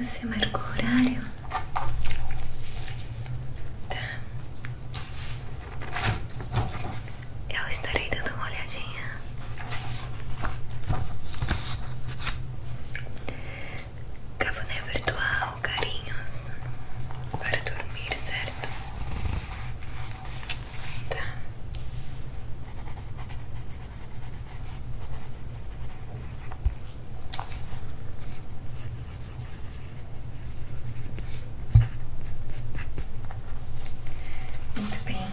Você marcou horário? Tá eu estarei dando uma olhadinha. Cafuné virtual, carinhos para dormir, certo? Tá. Muito bem.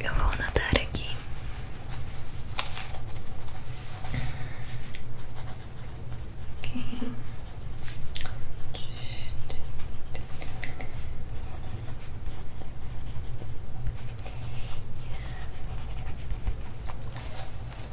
Eu vou anotar aqui. Okay.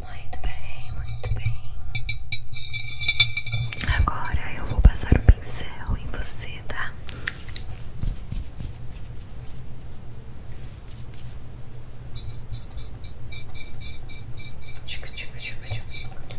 Muito bem, muito bem. Agora eu vou passar o pincel em você, tá? Tchuca, tchuca, tchuca, tchuca,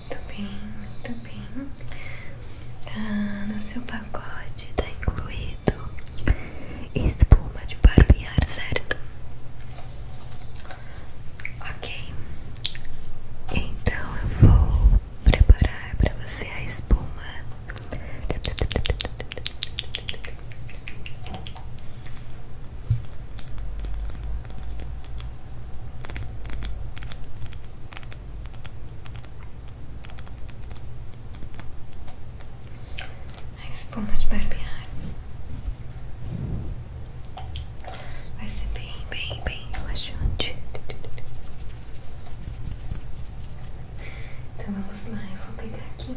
Muito bem, muito bem. Ah, no seu pacote está incluído espuma de barbear, certo? Ok. Então eu vou preparar para você a espuma a espuma de barbear vai ser bem, bem, bem relaxante. Então vamos lá, eu vou pegar aqui.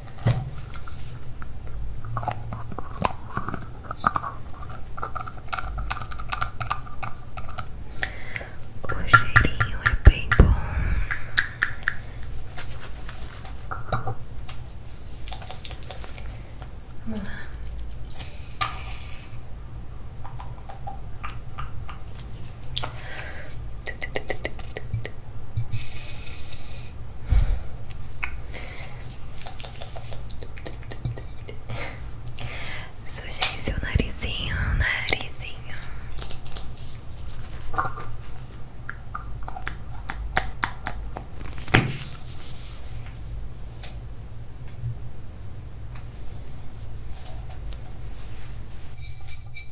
O cheirinho é bem bom. Sujei seu narizinho, narizinho.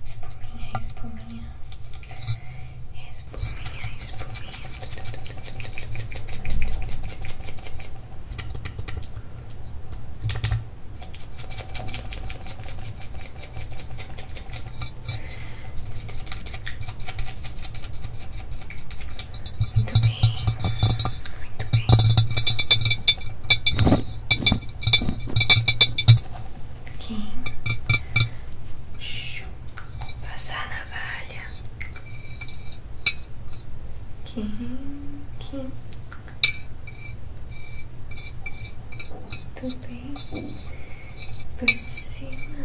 Espuminha, espuminha. Espuminha, espuminha. Espuminha, espuminha. Muito bem, muito bem. Aqui. Passar na valha Aqui, aqui. Muito bem. Por cima, né?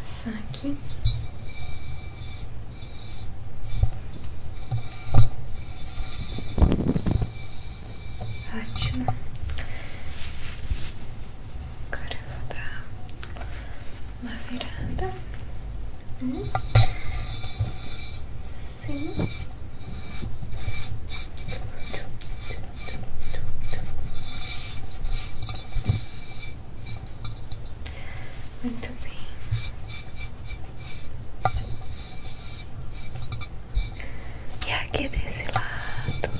Passar aqui. Ótimo. Agora vou dar uma virada. Hum sim Muito bem. E aqui desse lado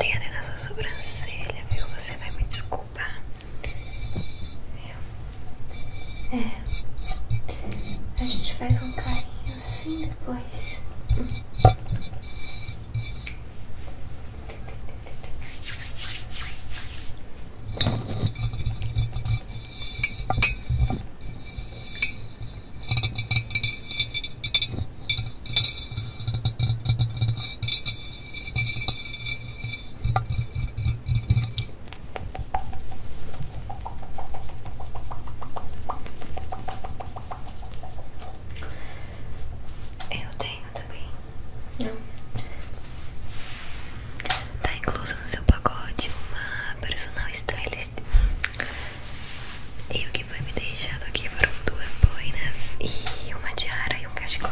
tem até na sua sobrancelha, viu? Você vai me desculpar. É. é. A gente faz um carinho assim depois. Eu tenho também. Não. Tá incluso no seu pacote uma personal stylist. E o que foi me deixado aqui foram duas boinas e uma tiara e um cachecol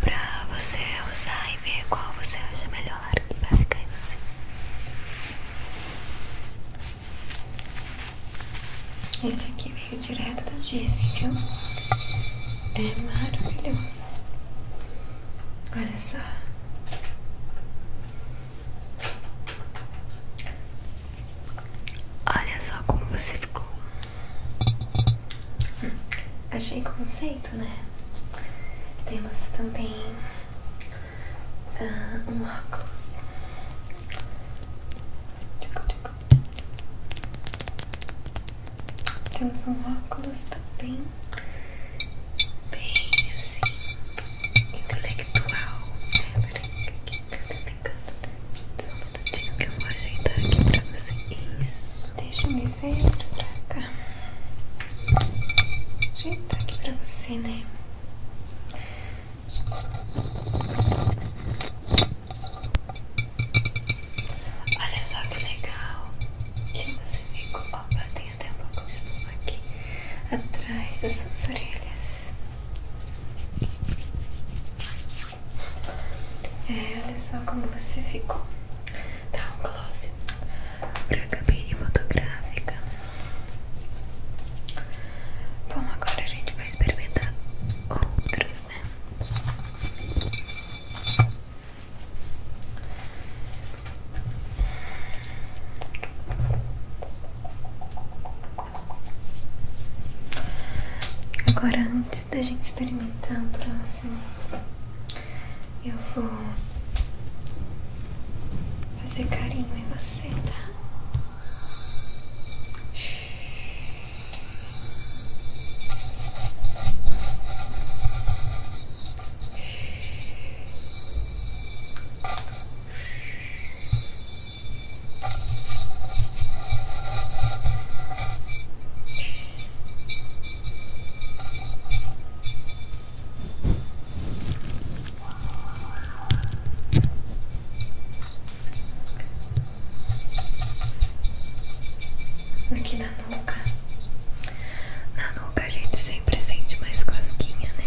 pra você usar e ver qual você acha melhor para ficar em você. Esse aqui veio direto da Disney, viu? É maravilhoso. Olha só. Olha só como você ficou. Achei conceito, né? Temos também ah, um óculos. Temos um óculos também bem assim intelectual. É, peraí, aqui tá pegando. Né? Só um que eu vou ajeitar aqui pra você. Isso. Deixa eu me ver pra cá. Ajeitar aqui pra você, né? Olha só que legal que você ficou. Opa, tem até um pouco de espuma aqui atrás das suas orelhas. É, olha só como você ficou. Tá, um close pra cabine fotográfica. Bom, agora a gente vai experimentar outros, né? Agora, antes antes da gente experimentar o próximo, eu vou fazer carinho em você, tá? Aqui na nuca, na nuca a gente sempre sente mais cosquinha, né?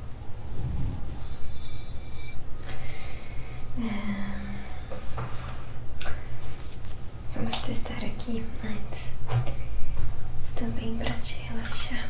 É. Vamos testar aqui antes também para te relaxar.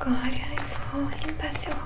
Agora eu vou limpar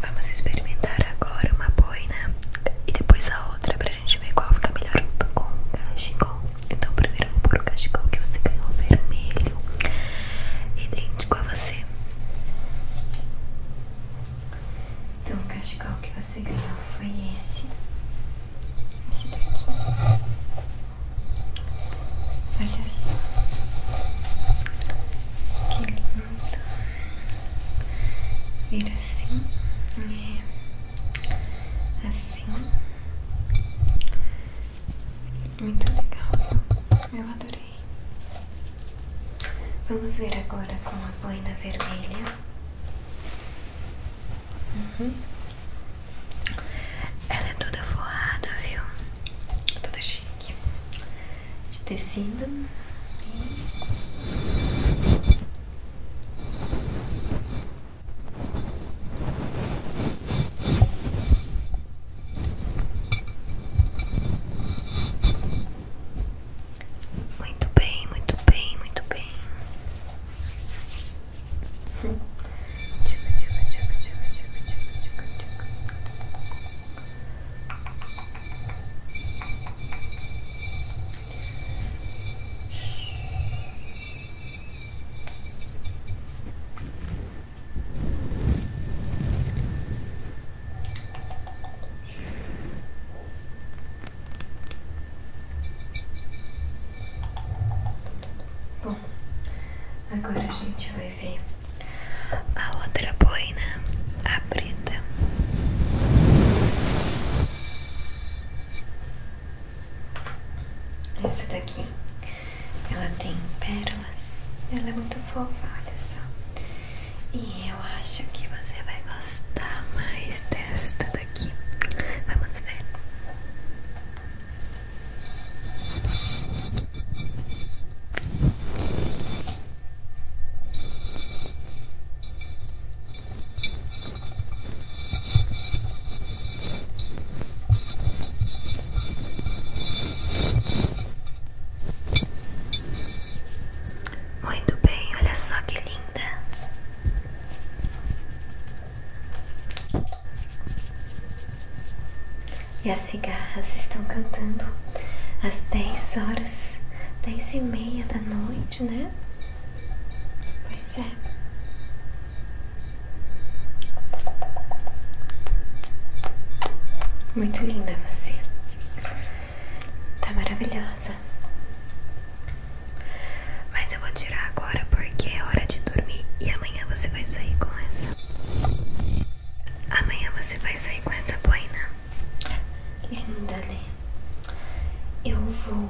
Vamos experimentar agora uma boina e depois a outra para a gente ver qual fica melhor com o cachecol. Então primeiro eu vou pôr o cachecol que você ganhou vermelho e dentro idêntico você. Então o cachecol que você ganhou foi esse. Esse daqui. Olha só. Que lindo. Vira assim. É. Assim. Muito legal, Eu adorei. Vamos ver agora com a boina vermelha. Uhum. Ela é toda forrada, viu? Toda chique. De tecido. Uhum. Muito bem, muito bem, muito bem. Bom, agora a gente vai ver a outra boina, a preta. Essa daqui ela tem pérolas, ela é muito fofa, olha só. E eu acho que você vai gostar mais desta daqui. Vamos ver. Muito bem, olha só que linda. E as cigarras estão cantando às dez horas, dez e meia da noite, né? Pois é. Muito linda você. Tá maravilhosa. Mas eu vou tirar agora porque é hora de dormir e amanhã você vai sair com essa. Amanhã você vai sair com essa boina. Linda, né? Eu vou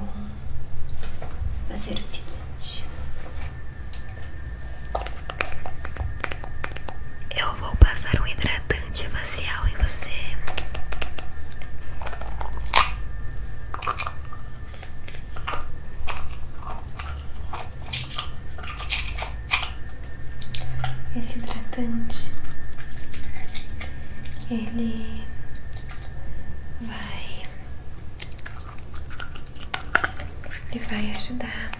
fazer o seguinte. Eu vou passar um hidratante facial em você. Esse hidratante ele vai ele vai ajudar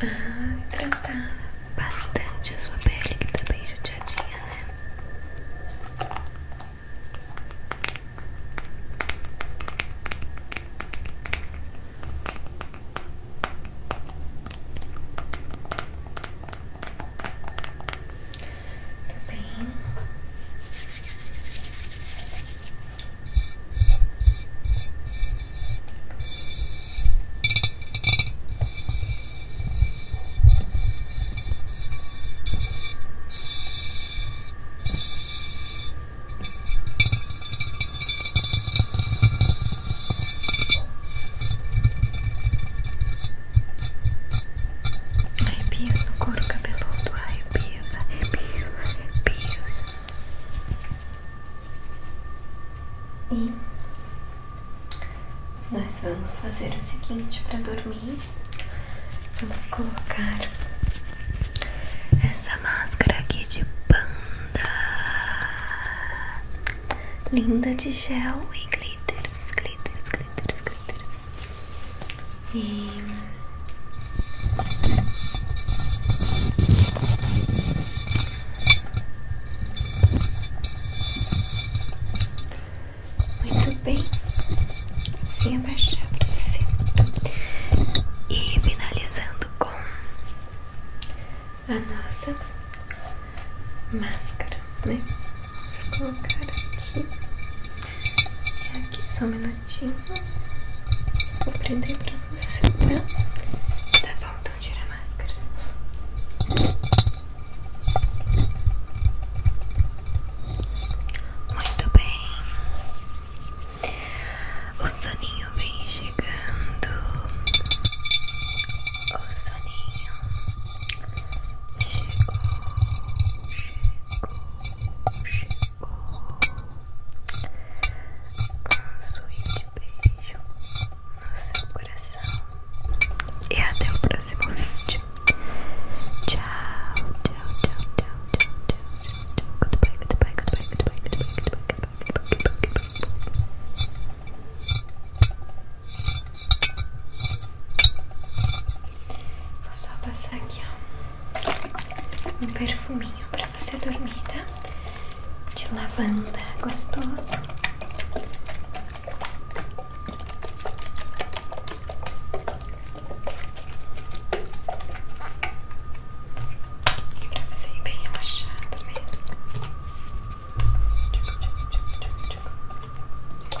a tratar bastante a sua pele que tá bem judiadinha, né? Tá bem piso no couro cabeludo, ai arrepio, arrepio, arrepios. E nós vamos fazer o seguinte para dormir. Vamos colocar essa máscara aqui de panda linda de gel e glitters, glitters, glitters, glitters. E muito bem, sem abaixar pra você. E finalizando com a nossa máscara, né? Vamos colocar aqui. E é aqui, só um minutinho. Vou aprender pra você, tá? Tá bom, então tira a máscara. Muito bem. O soninho vem chegando. O soninho chegou, chegou. Um suíte beijo no seu coração. E até o próximo vídeo. Tchau, tchau, tchau, tchau, tchau, tchau, tchau. Goodbye, goodbye, goodbye, goodbye, goodbye, goodbye, goodbye, goodbye, goodbye. Vou só passar aqui, ó, um perfuminho pra você dormir, tá? De lavanda, gostoso. Pra você ir bem relaxado mesmo.